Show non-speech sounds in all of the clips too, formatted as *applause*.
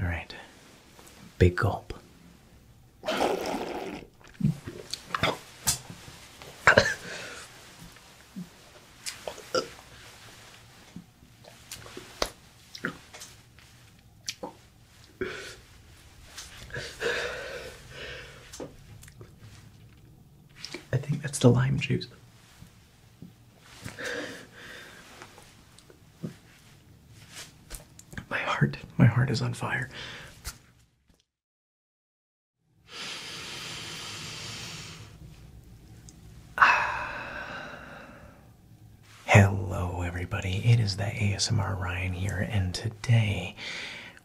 All right. Big gulp. I think that's the lime juice. My heart, my heart is on fire. *sighs* Hello, everybody. It is the ASMR Ryan here, and today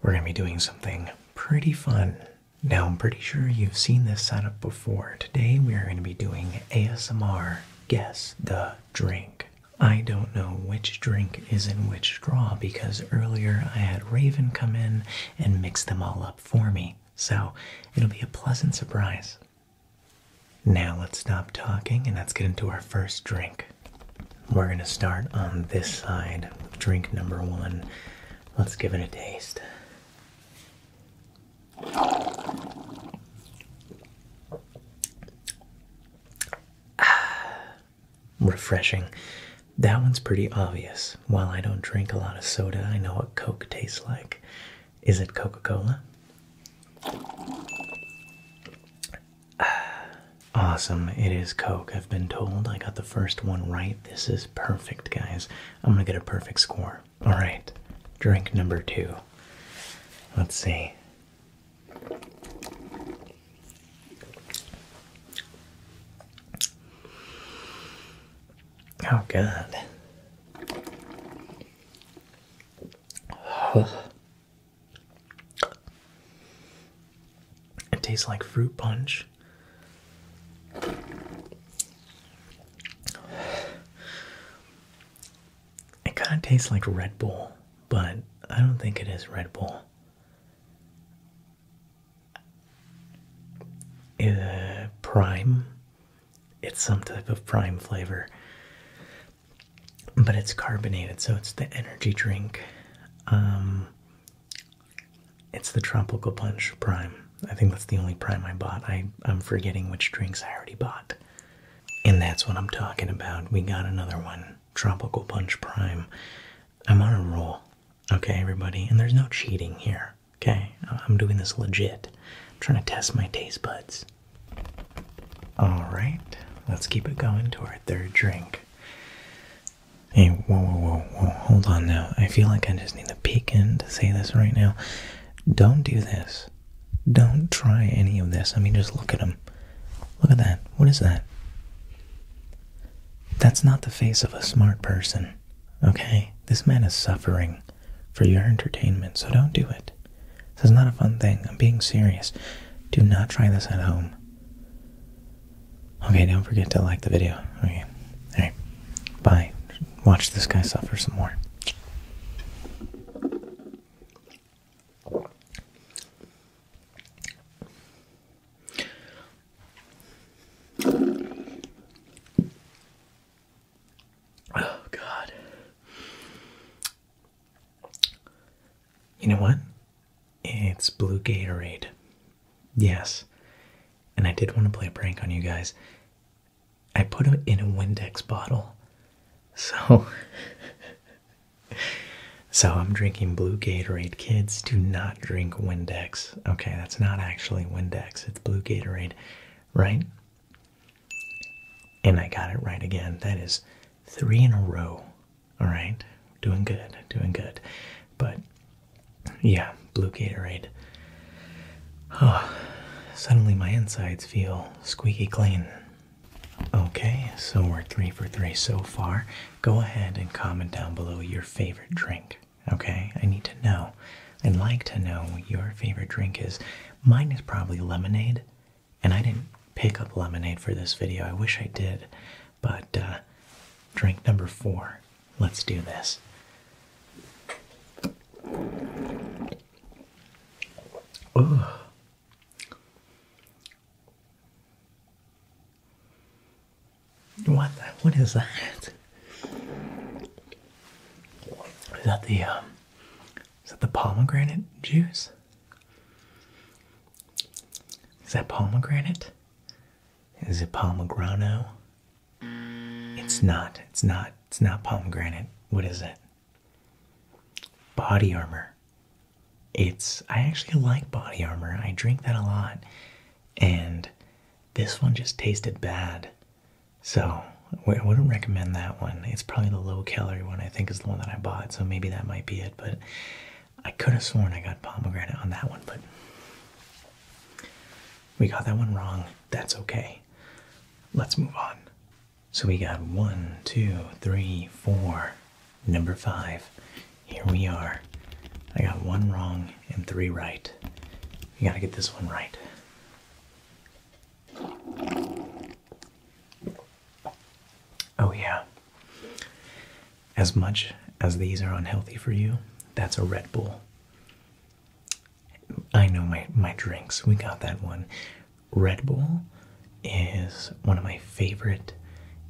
we're going to be doing something pretty fun. Now, I'm pretty sure you've seen this setup before. Today, we are going to be doing ASMR Guess the drink. I don't know which drink is in which straw because earlier I had Raven come in and mix them all up for me. So it'll be a pleasant surprise. Now let's stop talking and let's get into our first drink. We're going to start on this side drink number one. Let's give it a taste. *sighs* Refreshing. That one's pretty obvious. While I don't drink a lot of soda, I know what Coke tastes like. Is it Coca Cola? *sighs* Awesome, it is Coke. I've been told I got the first one right. This is perfect, guys. I'm gonna get a perfect score. All right, drink number two. Let's see. Oh, God. It tastes like fruit punch. It kind of tastes like Red Bull, but I don't think it is Red Bull. prime. It's some type of prime flavor, but it's carbonated, so it's the energy drink. Um, it's the Tropical Punch Prime. I think that's the only prime I bought. I, I'm forgetting which drinks I already bought. And that's what I'm talking about. We got another one Tropical Punch Prime. I'm on a roll. Okay, everybody. And there's no cheating here. Okay, I'm doing this legit. I'm trying to test my taste buds. All right, let's keep it going to our third drink. Hey, whoa, whoa, whoa, whoa, hold on now. I feel like I just need to peek in to say this right now. Don't do this. Don't try any of this. I mean, just look at him. Look at that. What is that? That's not the face of a smart person, okay? This man is suffering for your entertainment, so don't do it. This is not a fun thing. I'm being serious. Do not try this at home. Okay, don't forget to like the video. Okay. Alright. Bye. Watch this guy suffer some more. Oh, God. You know what? It's blue Gatorade. Yes. And I did want to play a prank on you guys. I put them in a Windex bottle. So *laughs* So I'm drinking blue Gatorade. Kids, do not drink Windex. Okay, that's not actually Windex. It's blue Gatorade, right? And I got it right again. That is three in a row. All right. Doing good. Doing good. But yeah, blue Gatorade. Oh, *sighs* suddenly my insides feel squeaky clean. Okay, so we're three for three so far. Go ahead and comment down below your favorite drink. Okay, I need to know. I'd like to know what your favorite drink is. Mine is probably lemonade, and I didn't pick up lemonade for this video. I wish I did, but uh, drink number four. Let's do this. What? What is that? Is that the um, Is that the pomegranate juice? Is that pomegranate? Is it pomegranate? It's not. It's not. It's not pomegranate. What is it? Body armor. It's I actually like body armor. I drink that a lot. And this one just tasted bad. So, I wouldn't recommend that one. It's probably the low calorie one, I think, is the one that I bought. So, maybe that might be it. But I could have sworn I got pomegranate on that one. But we got that one wrong. That's okay. Let's move on. So we got one, two, three, four. Number five. Here we are. I got one wrong and three right. You gotta get this one right. Oh, yeah. As much as these are unhealthy for you, that's a Red Bull. I know my my drinks. We got that one. Red Bull is one of my favorite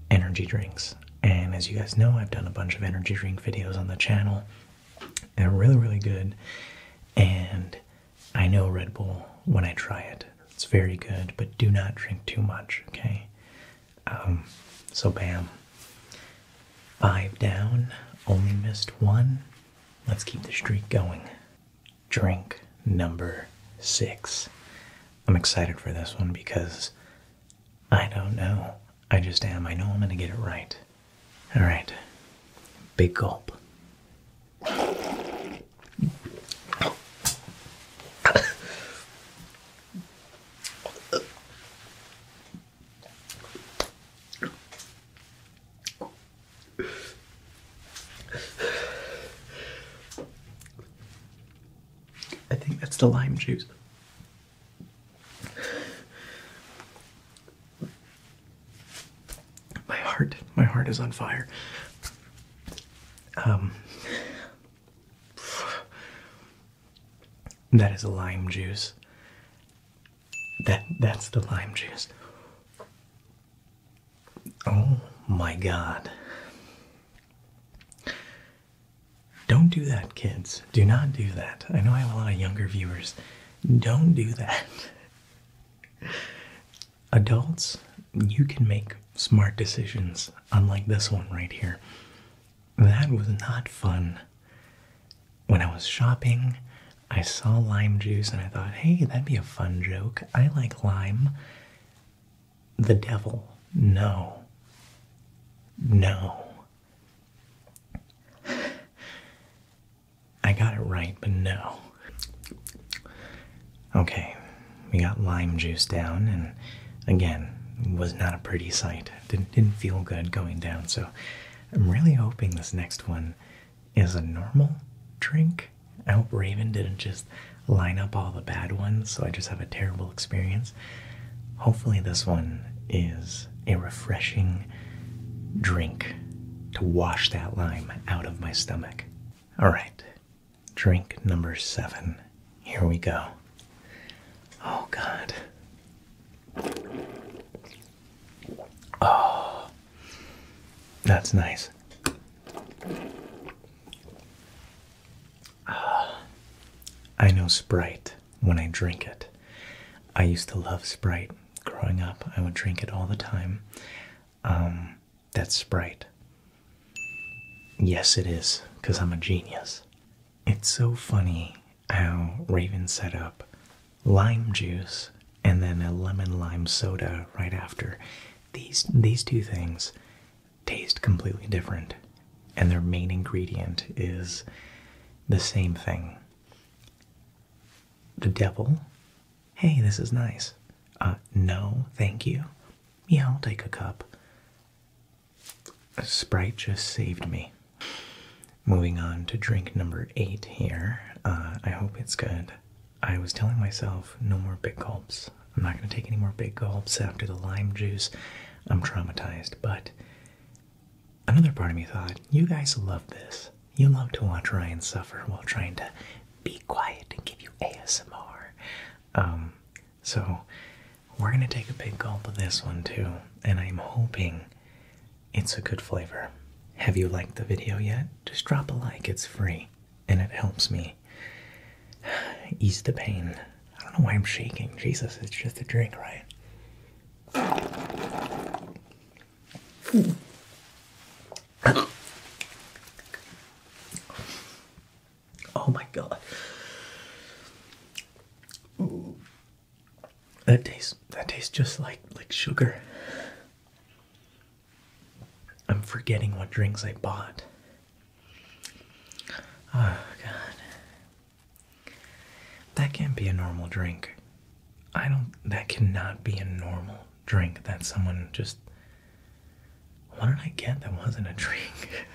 energy drinks. And as you guys know, I've done a bunch of energy drink videos on the channel. They're really, really good. And I know Red Bull when I try it. It's very good, but do not drink too much, okay? Um, so, bam. Five down, only missed one. Let's keep the streak going drink number six. I'm excited for this one because I don't know. I just am. I know I'm going to get it right. All right. Big gulp. I think that's the lime juice. My heart, my heart is on fire. Um, that is lime juice. That that's the lime juice. Oh my god. Don't do that, kids. Do not do that. I know I have a lot of younger viewers. Don't do that. *laughs* Adults, you can make smart decisions, unlike this one right here. That was not fun when I was shopping, I saw lime juice and I thought, hey, that'd be a fun joke. I like lime. The devil. No. No. I got it right, but no. Okay, we got lime juice down, and again, was not a pretty sight. Didn't, didn't feel good going down, so I'm really hoping this next one is a normal drink. I hope Raven didn't just line up all the bad ones so I just have a terrible experience. Hopefully, this one is a refreshing drink to wash that lime out of my stomach. All right, drink number seven. Here we go. Oh, God. Oh, that's nice. Ah, I know Sprite when I drink it. I used to love Sprite growing up. I would drink it all the time. Um, that's Sprite. Yes, it is, because I'm a genius. It's so funny how Raven set up lime juice and then a lemon lime soda right after. These these two things taste completely different and their main ingredient is the same thing. The devil, hey, this is nice. Uh, no, thank you. Yeah, I'll take a cup. Sprite just saved me. Moving on to drink number eight here. Uh, I hope it's good. I was telling myself no more big gulps. I'm not going to take any more big gulps after the lime juice. I'm traumatized. But another part of me thought, you guys love this. You love to watch Ryan suffer while trying to be quiet and give you ASMR. Um, so we're going to take a big gulp of this one too. And I'm hoping it's a good flavor. Have you liked the video yet? Just drop a like, it's free, and it helps me *sighs* ease the pain. I don't know why I'm shaking. Jesus, it's just a drink, right? *coughs* Oh my god. That tastes that tastes just like like sugar. I'm forgetting what drinks I bought. Oh, God. That can't be a normal drink. I don't. That cannot be a normal drink that someone just. What did I get that wasn't a drink?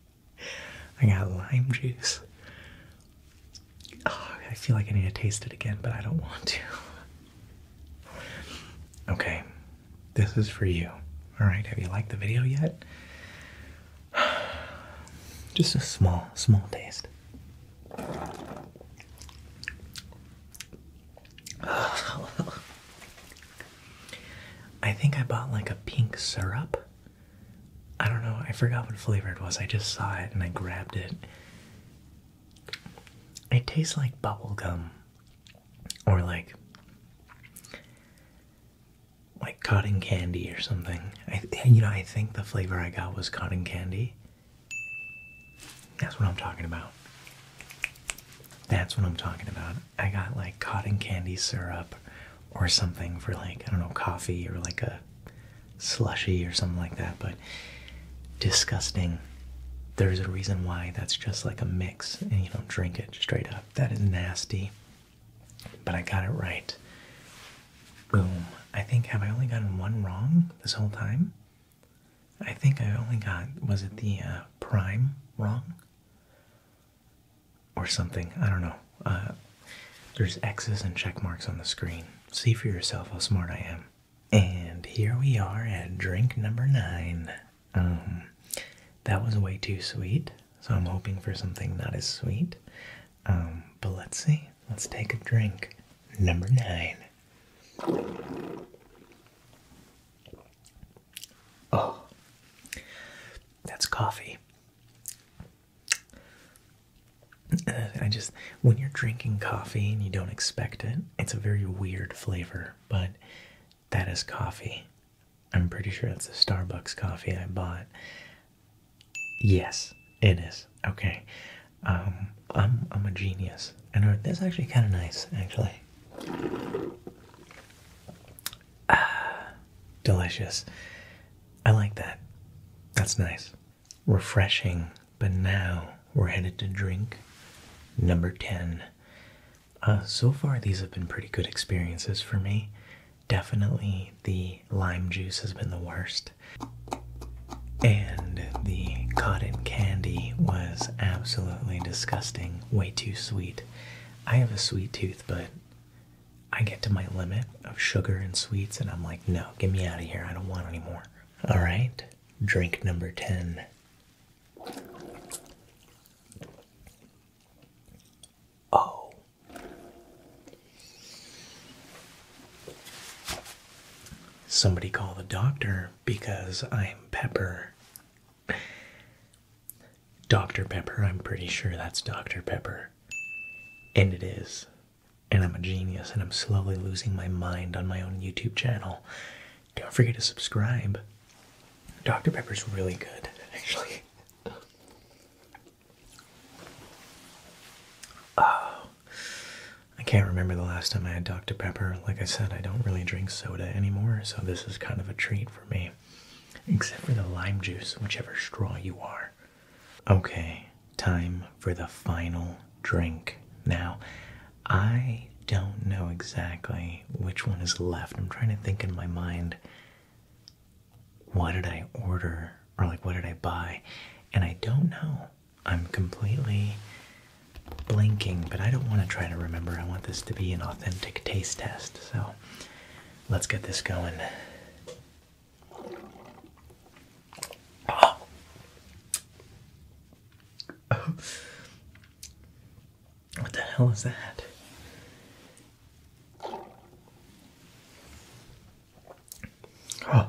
*laughs* I got lime juice. Oh, I feel like I need to taste it again, but I don't want to. Okay, this is for you. Alright, have you liked the video yet? *sighs* Just a small, small taste. *sighs* I think I bought like a pink syrup. I don't know, I forgot what flavor it was. I just saw it and I grabbed it. It tastes like bubble gum or like like cotton candy or something. you know, I think the flavor I got was cotton candy. That's what I'm talking about. That's what I'm talking about. I got like cotton candy syrup or something for like I don't know, coffee or like a slushy or something like that, but disgusting. There's a reason why that's just like a mix and you don't drink it straight up. That is nasty. But I got it right. Boom. I think, have I only gotten one wrong this whole time? I think I only got, was it the uh, prime wrong? Or something. I don't know. Uh, there's X's and check marks on the screen. See for yourself how smart I am. And here we are at drink number nine. Um, that was way too sweet, so I'm hoping for something not as sweet. Um, but let's see. Let's take a drink. Number nine. Oh, that's coffee. *sighs* I just, when you're drinking coffee and you don't expect it, it's a very weird flavor, but that is coffee. I'm pretty sure that's the Starbucks coffee I bought. Yes, it is. Okay. Um, I'm, I'm a genius. And uh, that's actually kind of nice, actually. Ah, delicious. I like that. That's nice refreshing. But now we're headed to drink number 10. Uh, so far, these have been pretty good experiences for me. Definitely the lime juice has been the worst. And the cotton candy was absolutely disgusting, way too sweet. I have a sweet tooth, but I get to my limit of sugar and sweets, and I'm like, no, get me out of here. I don't want any more. All right, drink number 10. Oh. Somebody call the doctor because I'm Pepper. Dr. Pepper, I'm pretty sure that's Dr. Pepper. And it is and I'm a genius and I'm slowly losing my mind on my own YouTube channel. Don't forget to subscribe. Dr. Pepper's really good, actually. *laughs* oh, I can't remember the last time I had Dr. Pepper. Like I said, I don't really drink soda anymore, so this is kind of a treat for me. Except for the lime juice, whichever straw you are. Okay, time for the final drink. Now, I don't know exactly which one is left. I'm trying to think in my mind what did I order or like what did I buy? And I don't know. I'm completely blinking, but I don't want to try to remember. I want this to be an authentic taste test. So let's get this going. *gasps* What the hell is that? *gasps*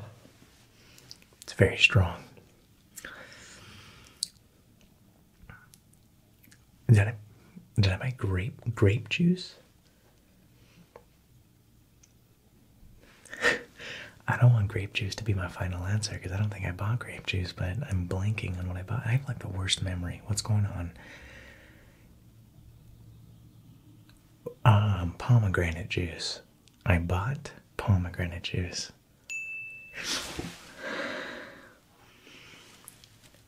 it's very strong. Did I did I make grape grape juice? I don't want grape juice to be my final answer because I don't think I bought grape juice, but I'm blanking on what I bought. I have like the worst memory. What's going on? Um, pomegranate juice. I bought pomegranate juice.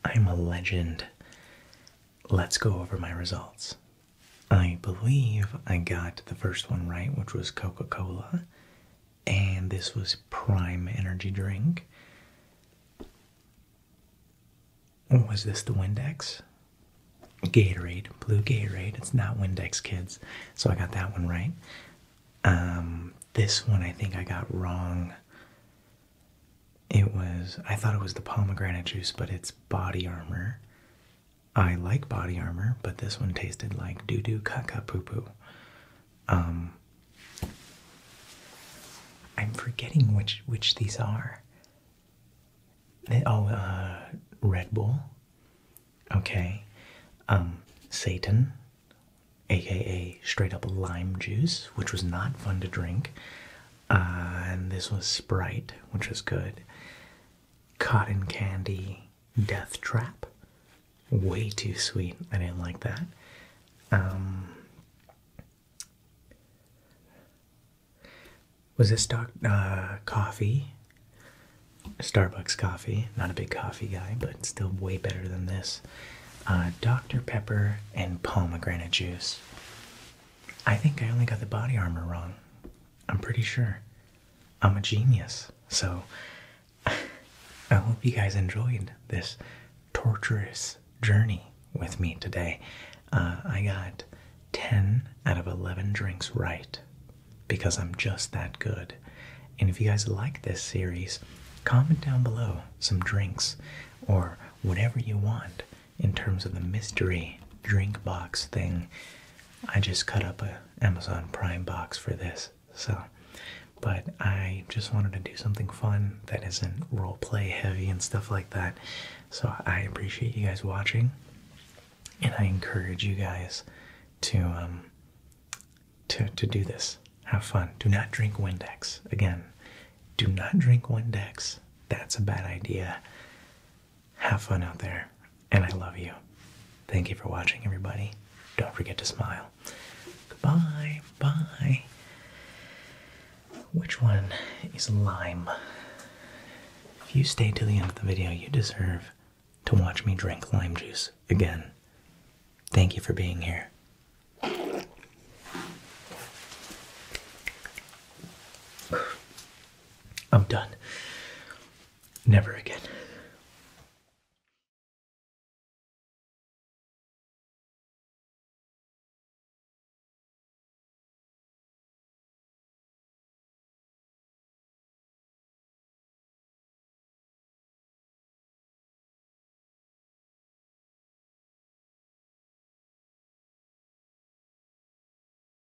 I'm a legend. Let's go over my results. I believe I got the first one right, which was Coca Cola, and this was Prime Energy Drink. Was this the Windex? Gatorade, blue Gatorade. It's not Windex, kids. So I got that one right. Um, this one I think I got wrong. It was, I thought it was the pomegranate juice, but it's body armor. I like body armor, but this one tasted like doo doo caca poo poo. Um, I'm forgetting which which these are. They, oh, uh, Red Bull. Okay, um, Satan, aka straight up lime juice, which was not fun to drink. Uh, and this was Sprite, which was good. Cotton Candy Death Trap. Way too sweet. I didn't like that. Um, was this doc, uh, coffee? Starbucks coffee. Not a big coffee guy, but still way better than this. Uh, Dr. Pepper and pomegranate juice. I think I only got the body armor wrong. I'm pretty sure I'm a genius. So *laughs* I hope you guys enjoyed this torturous journey with me today. Uh, I got 10 out of 11 drinks right because I'm just that good. And if you guys like this series, comment down below some drinks or whatever you want in terms of the mystery drink box thing I just cut up an Amazon Prime box for this. So, but I just wanted to do something fun that isn't role play heavy and stuff like that. So I appreciate you guys watching, and I encourage you guys to um to to do this. Have fun. Do not drink Windex. Again, do not drink Windex. That's a bad idea. Have fun out there, and I love you. Thank you for watching, everybody. Don't forget to smile. Goodbye. Bye. Which one is lime? If you stay to the end of the video, you deserve to watch me drink lime juice again. Thank you for being here. *sighs* I'm done. Never again.